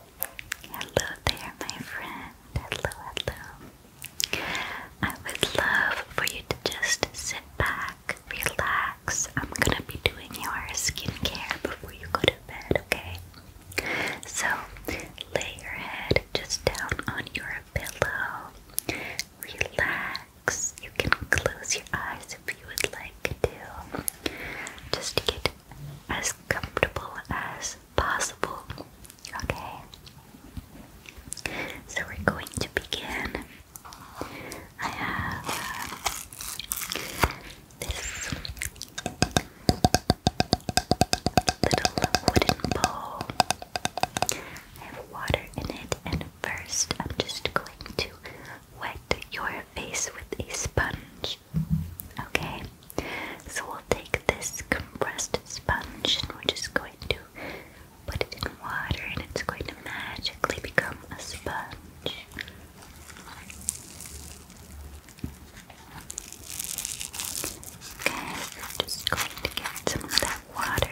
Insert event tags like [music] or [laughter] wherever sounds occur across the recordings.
Hello there, my friend. Hello, hello. I would love for you to just sit back, relax. I'm gonna be doing your skincare before you go to bed, okay? So, lay your head just down on your pillow. Relax. You can close your eyes if you would like to. Just to give as comfortable as possible. Okay? So we're going to begin. I have uh, this little wooden bowl. I have water in it, and first I'm just going to wet your face with a sponge. Okay, so we'll take this compressed sponge and we're just going to put it in water and it's going to magically become a sponge. Okay, just going to get some of that water.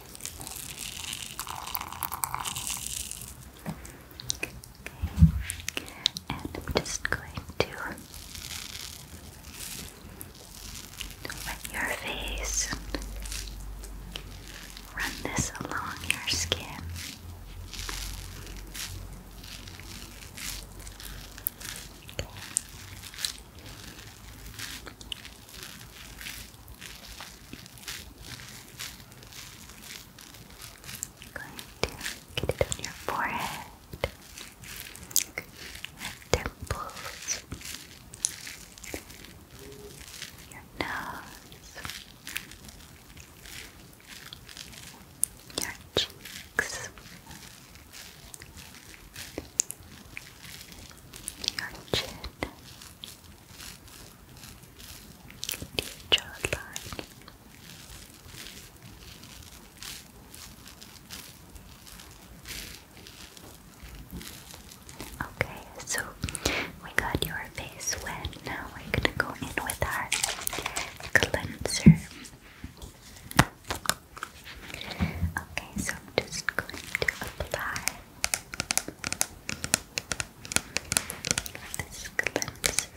And I'm just going to wet your face run this along your skin going to get it on your forehead, your temples, your nose, your cheeks, your chin deep jawline. Okay, so we got your face wet. Now we're gonna go in with our cleanser. Okay, so I'm just going to apply this cleanser.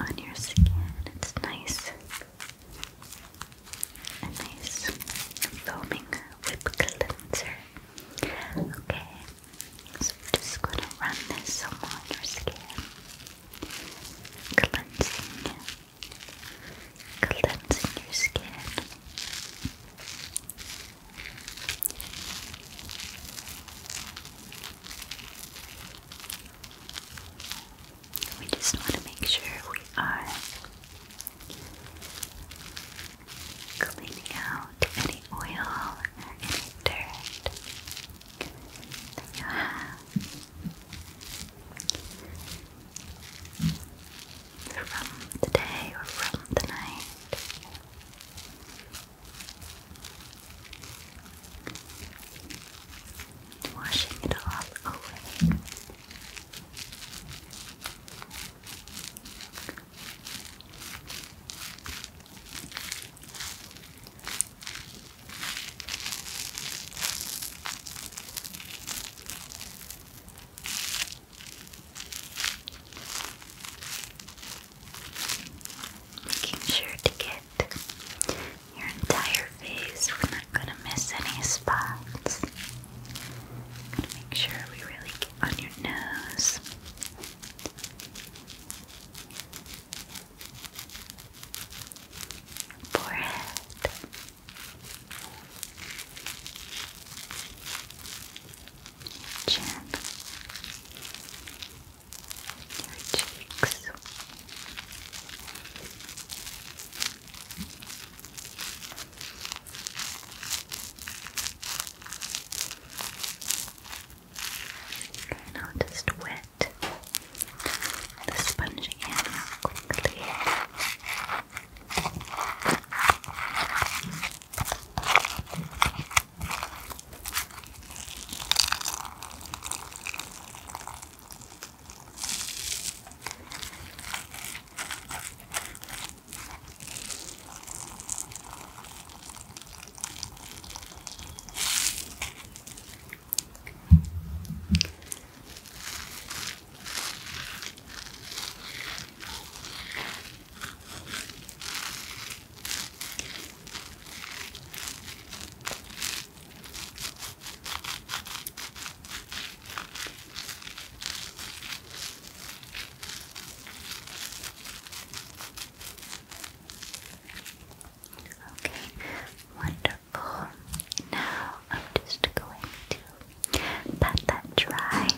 On your skin, it's nice, a nice foaming whip cleanser. Okay, so just gonna run this on your skin cleansing, cleansing your skin. We just want to make sure we are cleaning out any oil or any dirt that you have. From the day or from the night. Washing it all away. Making sure to get your entire face. We're not gonna miss any spots. make sure we really get on your nose forehead, chin, cheeks. Okay, now just wet the sponge again quickly. Okay, wonderful beautiful. Now I'm just going to pat that dry.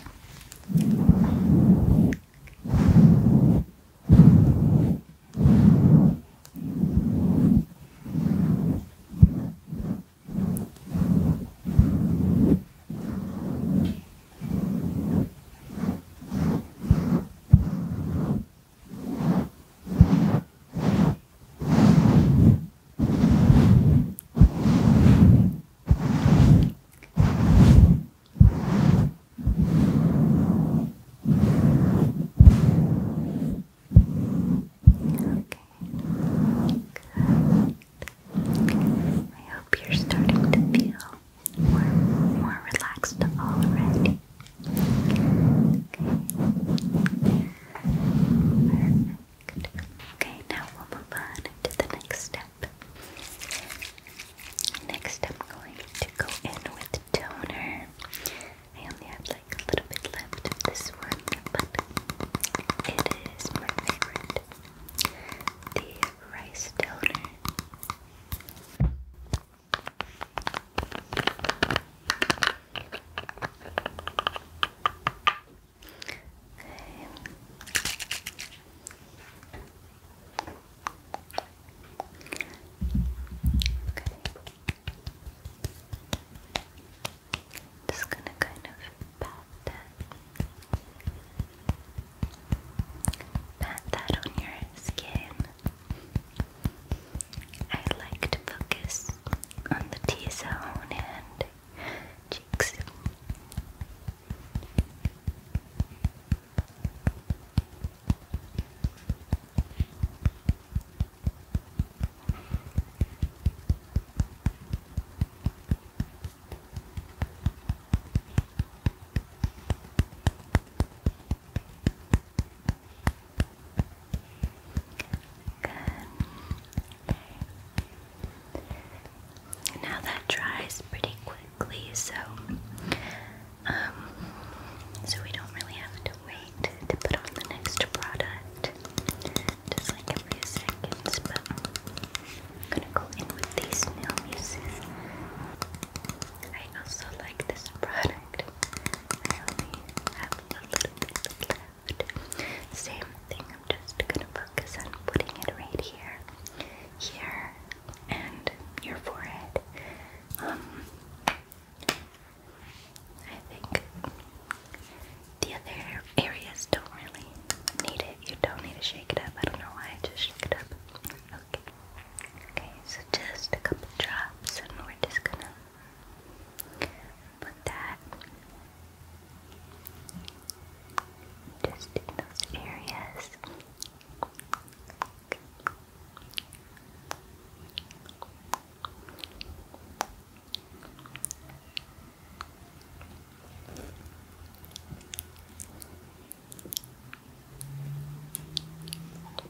I hope you're starting to feel more, more relaxed already. Okay. Perfect. Okay, now we'll move on to the next step. Next, I'm going to go in with toner. I only have like a little bit left of this one, but it is my favorite. The rice toner. Just gonna kind of pat that, pat that on your skin. I like to focus on the T zone and cheeks. Now that dries pretty quickly, so um, so we don't really have to wait to put on the next product. Just like every seconds, but I'm gonna go in with these nail muses. I also like this product. I Same thing, I'm just gonna focus on putting it right here, here, and your forehead. Um, I think the other areas don't really need it. You don't need to shake it up. I don't know why I just shook it up. Okay. Okay, so just a couple drops and we're just gonna Put that just in those areas.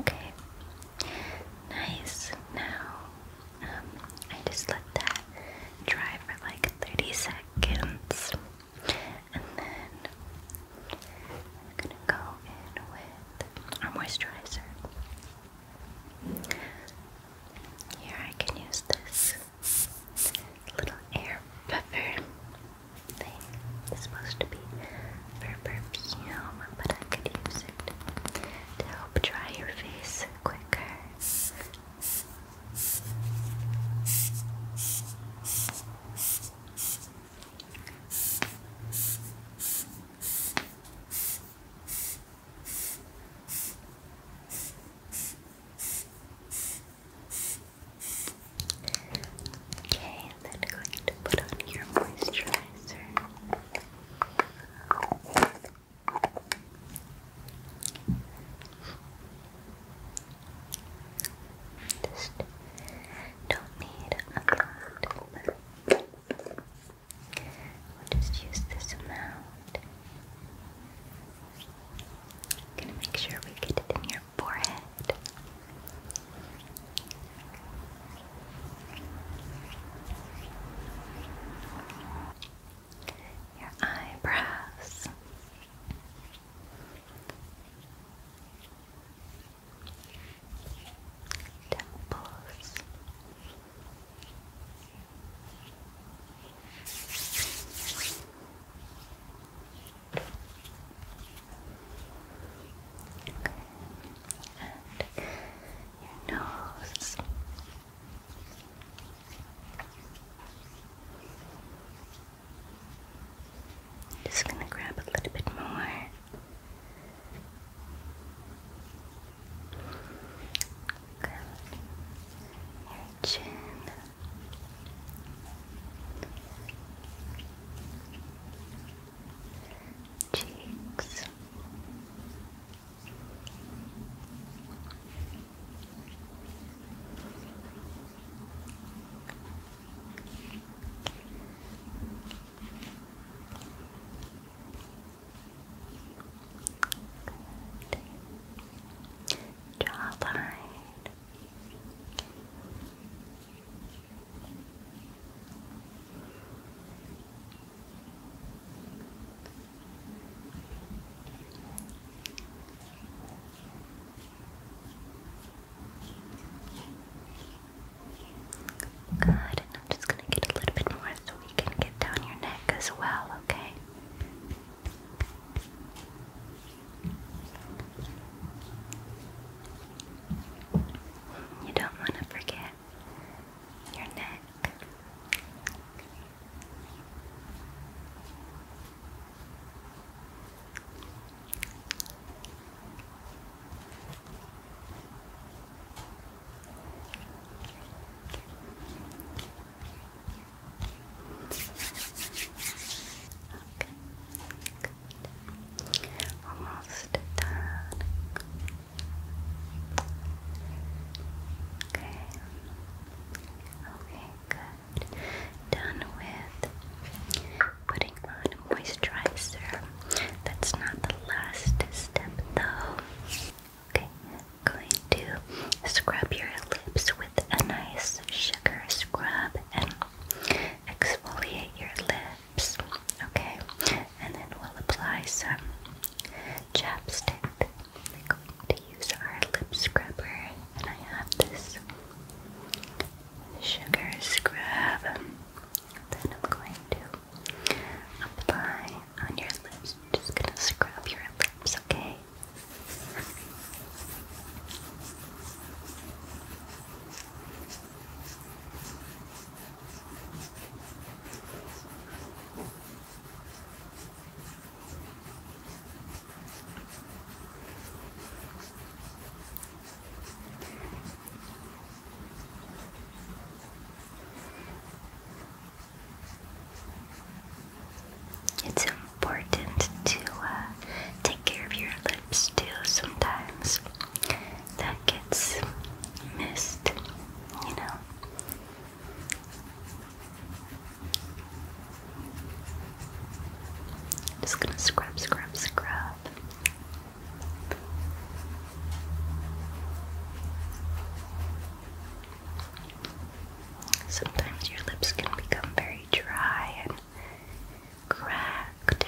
Okay. Nice. Now, um, I just let that dry for like 30 seconds. And then I'm gonna go in with our moisturizer. Here I can use this little air buffer thing is supposed to be for perfume, but I could use it to help dry your face quicker. Okay, I'm then going to put on your moisturizer. Just don't need a lot, but we'll just use this amount. gonna make sure we get it in your your forehead. Your eyebrows, temples, Okay. And your nose. Just gonna grab a little bit more. Your chin cheeks. Good. Jawline. Good, and I'm just going to get a little bit more so we can get down your neck as well, okay? You don't want to forget your neck. Okay. Good. Almost done. Okay. Okay, good. Done with putting on a moisturizer. That's not the last step though. Okay, going to scrub your lips with a nice sugar scrub and exfoliate your lips, okay? And then we'll apply some chapstick. We're going to use our lip scrubber, and I have this sugar scrub. Then I'm going to apply on your lips. just gonna scrub your lips, okay? It's important to uh, take care of your still sometimes that gets missed, you know. Just gonna scrub, scrub, scrub. Sometimes your lips can become very dry and cracked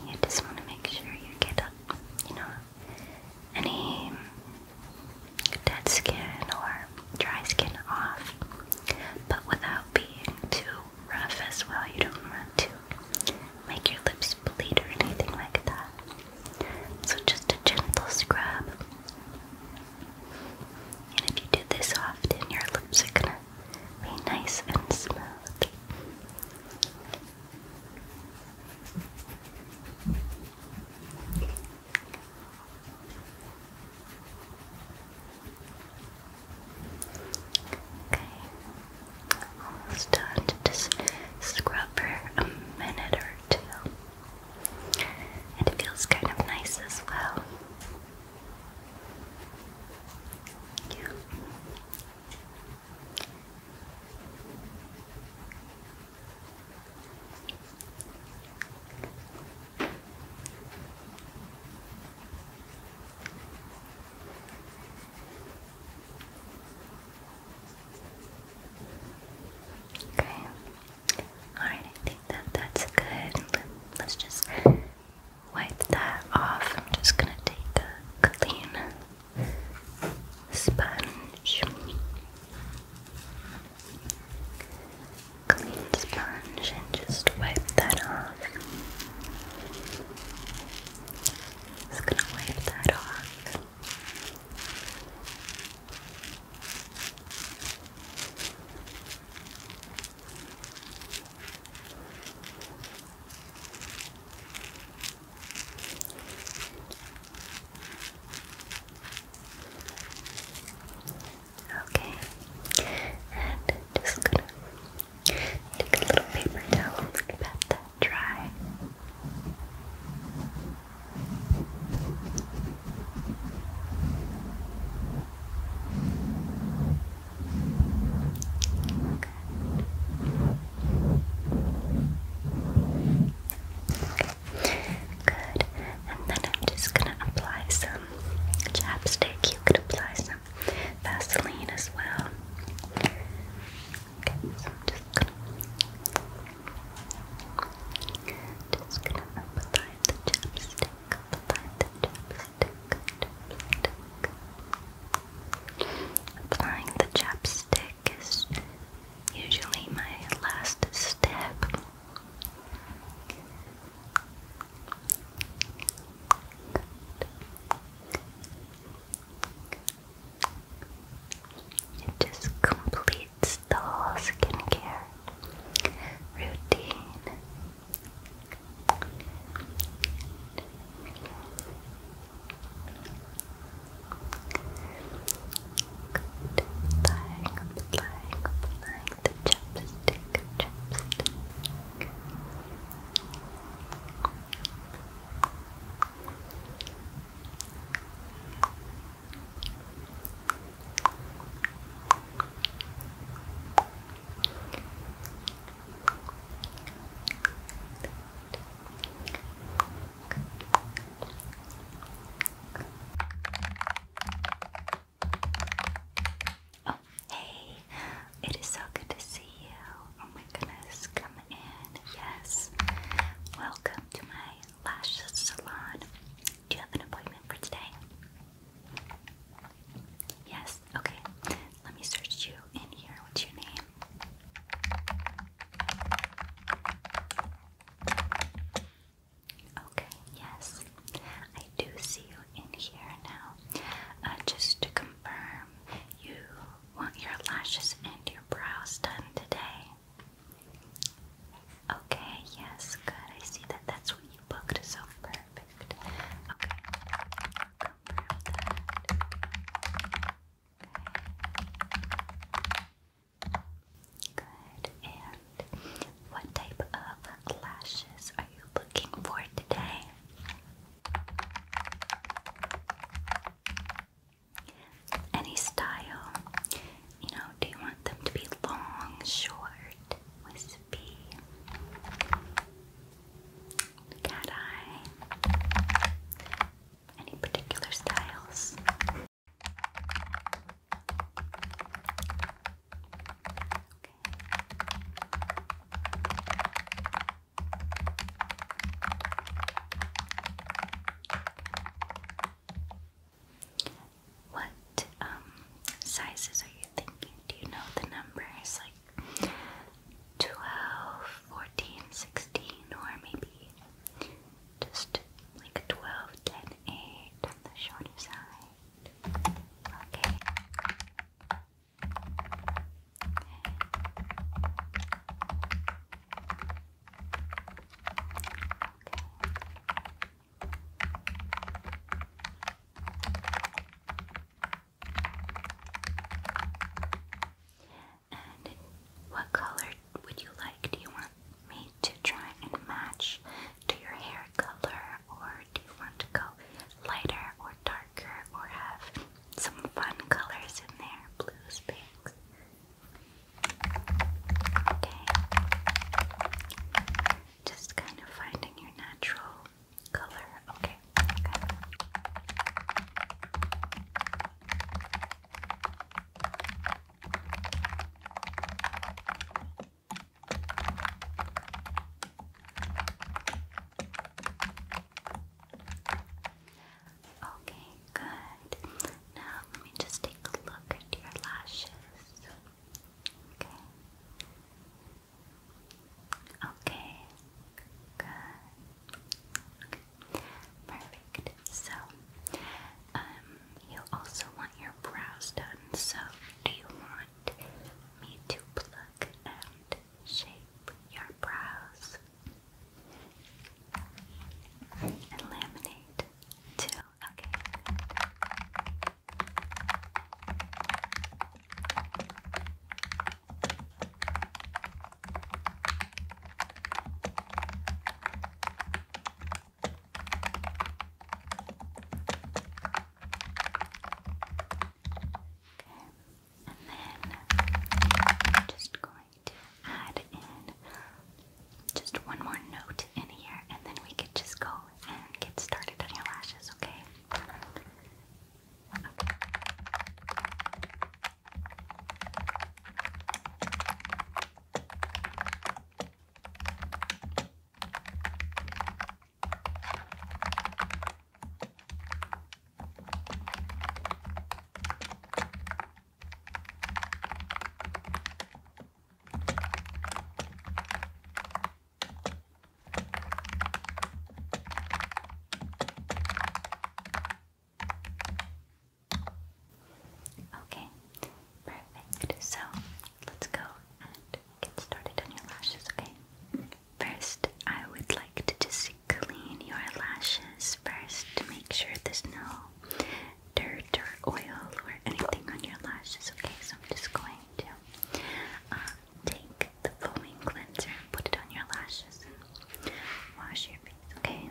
and you just want to make sure you get up, you know, any dead skin or dry skin off, but without being too rough as well. You don't want to make your lips bleed or anything like that. So just a gentle scrub. And if you do this often, your lips are gonna be nice and smooth. Okay, almost done just scrub for a minute or two. it feels kind of nice as well. Yeah. Okay. Alright, I think that that's good. Let's just wipe that off. I'm just going to take a clean sponge. Clean sponge and just wipe that off. Just gonna wipe that off. Okay, and just gonna take a little paper towel and pat that dry. Okay. Good. And then I'm just gonna apply some chapstick. You could apply some Vaseline as well. Okay, so I'm just gonna just gonna apply the chapstick. Apply the chapstick. Applying the chapstick is usually my last step. It just completes the skincare routine. Applying, applying, applying the chapstick, chapstick. Oh, hey, it is so good to see you. Oh my goodness, come in. Yes, welcome to my lash salon. Do you have an appointment for today? Yes? Okay. Let me search you in here. What's your name? Okay, yes. I do see you in here now. Uh, just to confirm, you want your lashes and your brows done today? Okay, yes, good. I see that. That's what you booked, so perfect. Okay. Good. And what type of lashes are you looking for today? Any style? You know, do you want them to be long, short? wispy, cat eye. Any particular styles? What um, sizes are you thinking? Do you know the numbers? Like 12, 14, 16, or maybe just like 12, 10, 8 on the shorter side? Okay. And what color would you like? Do you want me to try and match to your hair color, or do you want to go lighter or darker, or have some fun colors in there? Blues, pinks. Okay. Just kind of finding your natural color. Okay. okay. Okay, good. Now let me just take a look at your lashes. Okay. Okay. Good. Perfect. So, um, you also want your brows done. So, do you want me to pluck and shape your brows and laminate too? Okay and then I'm just going to add in just one more note in here and then we could just go and get started on your lashes, Okay. Okay, perfect. So let's go and get started on your lashes, okay? First, I would like to just clean your lashes first to make sure there's no dirt or oil or anything on your lashes, okay? So I'm just going uh, take the foaming cleanser put it on your lashes and wash your face, Okay.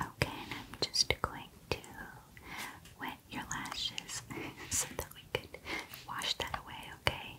Okay, and I'm just going to wet your lashes [laughs] so that we could wash that away, okay?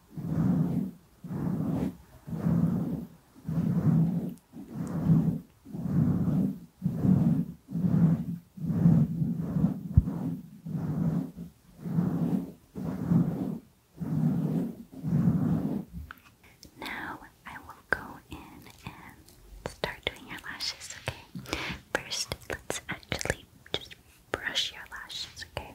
Now I will go in and start doing your lashes, okay? First, let's actually just brush your lashes, okay?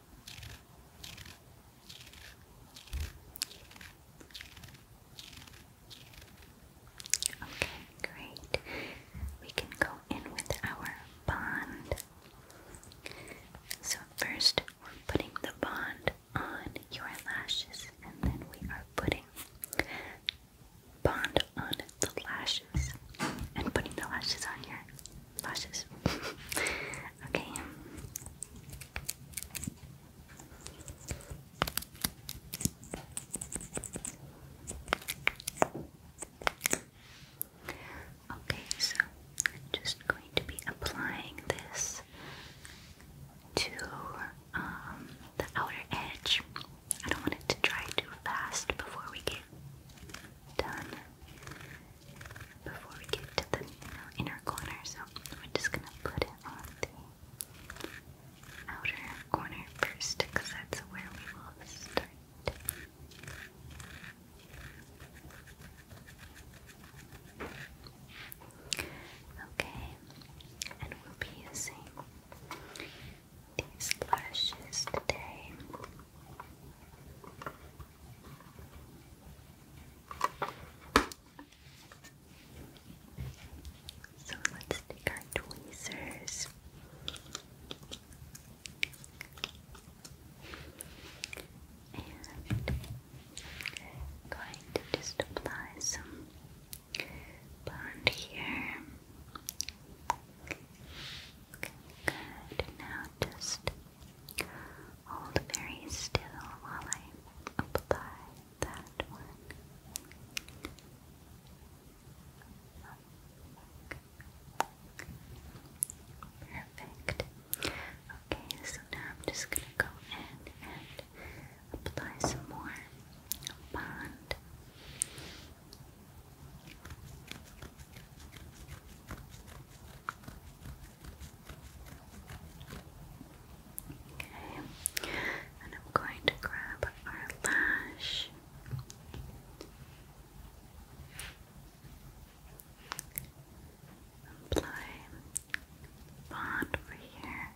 Okay, great. We can go in with our bond. So, first, we're putting the bond on your lashes, and then we are putting bond on the lashes and putting the lashes on your lashes. [laughs] Okay. Okay, so I'm just going to be applying this to um, the outer edge. I don't want it to dry too fast before we get done before we get to the inner corner, so we're just gonna put it on the outer corner first, because that's where we will start. Okay, and we'll be using these lashes today. So let's take our tweezers. And going to just apply some blonde here. Okay, good. Now just Hold very still while I apply that one. Perfect. Okay, so now I'm just gonna go in and apply some more bond. Okay, and I'm going to grab our lash. Apply bond over here.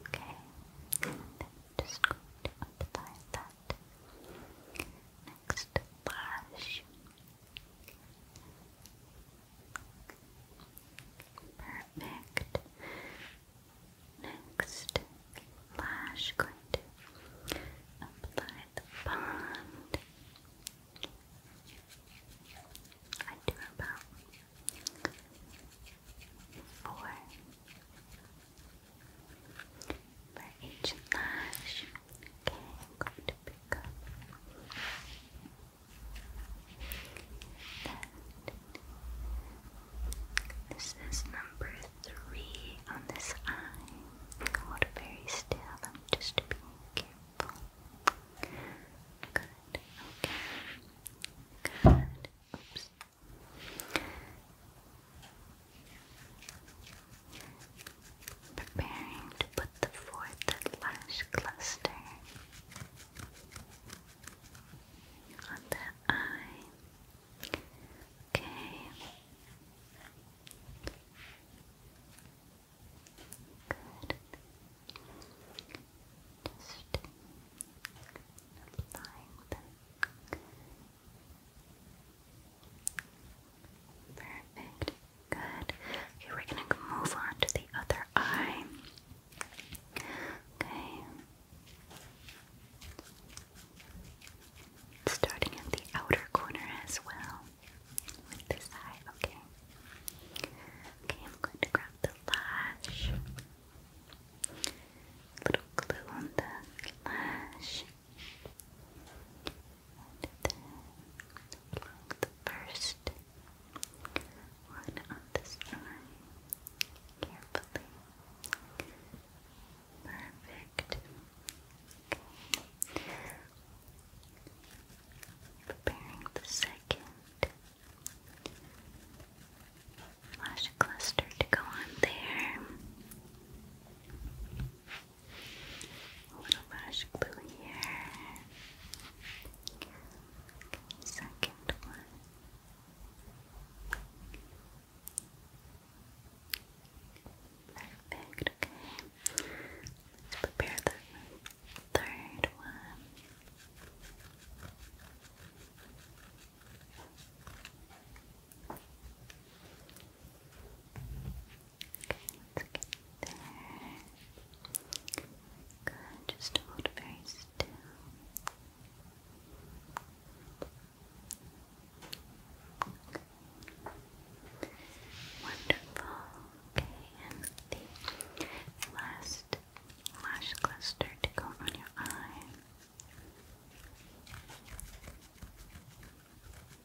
Okay, and just going to apply that next blush. Perfect. Next blush, going to apply the bond. I do about four for each lash. Okay, I'm going to pick up that. This is number three on this eye. Hold very still. I'm just being careful. Good. Okay. Good. Oops preparing to put the fourth lash cluster on the eye. Okay. Good. Just applying them. Perfect. Good. Okay, we're gonna move on to the other eye. Okay. Starting at the outer corner as well. With this eye, okay. Okay, I'm going to grab the lash. Little glue on the lash and then plug the first one on this eye carefully. Perfect. Preparing the second lash cluster to go on there. A little lash glue here. second one. Perfect, okay. Let's prepare the third one. Let's get there. just hold very still. Wonderful. Okay, and the last lash cluster to go on your eye. Good.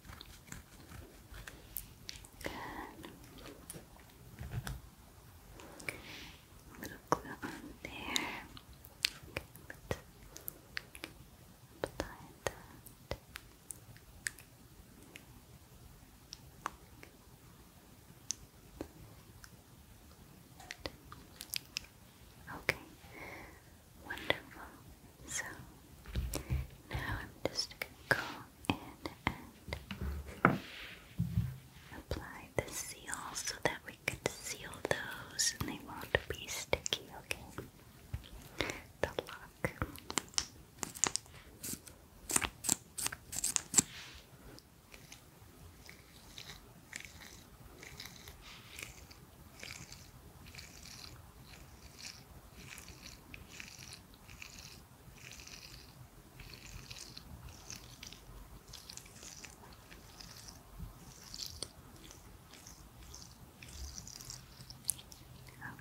A little glue on there. Good. Apply that. Okay, wonderful. So now I'm just gonna go in and apply the seal so that we can seal those and they won't be sticky, okay? The lock.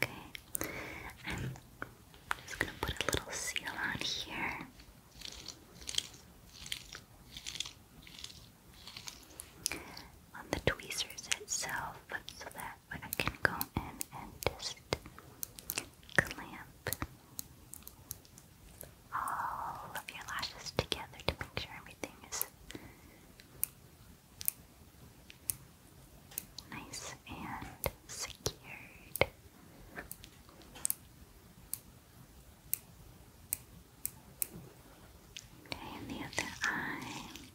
Okay, I'm just going to put a little seal on here. On the tweezers itself, so that but I can go in and just clamp all of your lashes together to make sure everything is nice and secured. Okay, and the other eye.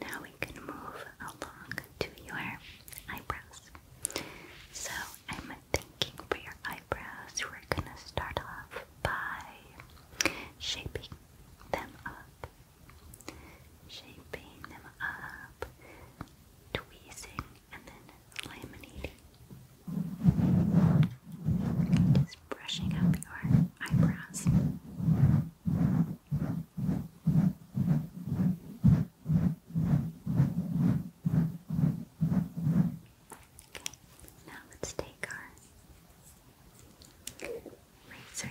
Now we can move along to your eyebrows. So I'm thinking for your eyebrows, we're gonna start off by shaping them up. Shaping them up, tweezing, and then laminating brushing up your eyebrows. Okay, now let's take our razor.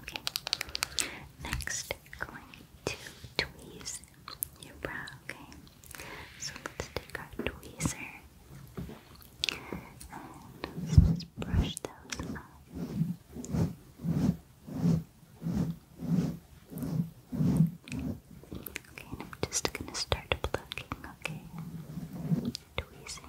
Okay. Next, going to tweeze your brow. Okay. So let's take our tweezer and just brush those off. Okay, and I'm just gonna start plucking. Okay, tweezing.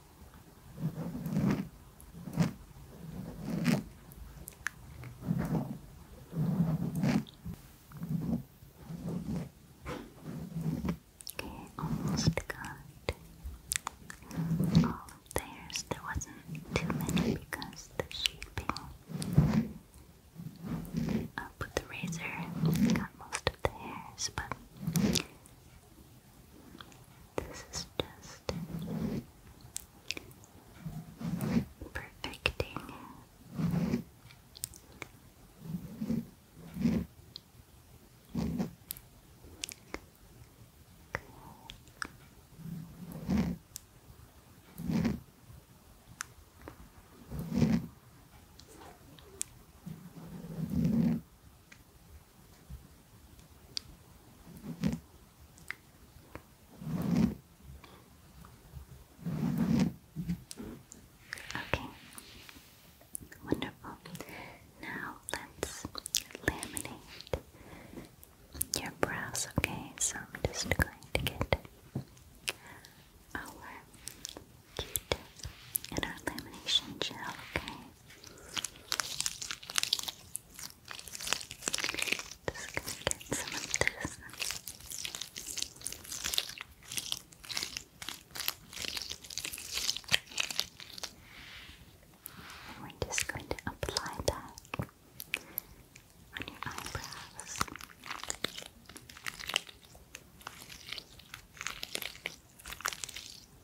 Okay, almost got all of theirs. There wasn't too many because the shaping up with the razor got most of the hairs, but this is just perfecting Okay, wonderful. Now let's laminate your brows, okay? So I'm just going to get our Q-tip and our lamination gel, okay? Just gonna get some of this. And we're just going to apply that on your eyebrows. Okay.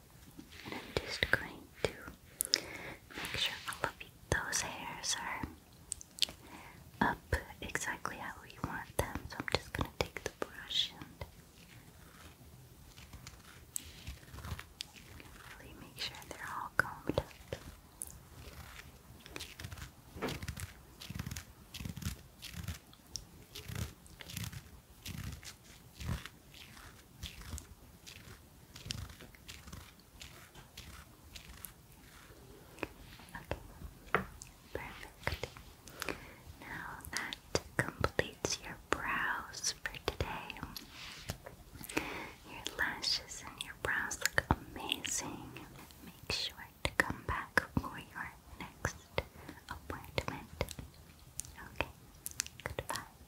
And I'm just going to make sure all of those hairs are up exactly how we want them. So I'm just going to take the brush and really make sure they're all combed up. Perfect. Now that completes your brows for today. Your lashes and your brows look amazing. Make sure to come back for your next appointment. Okay, goodbye.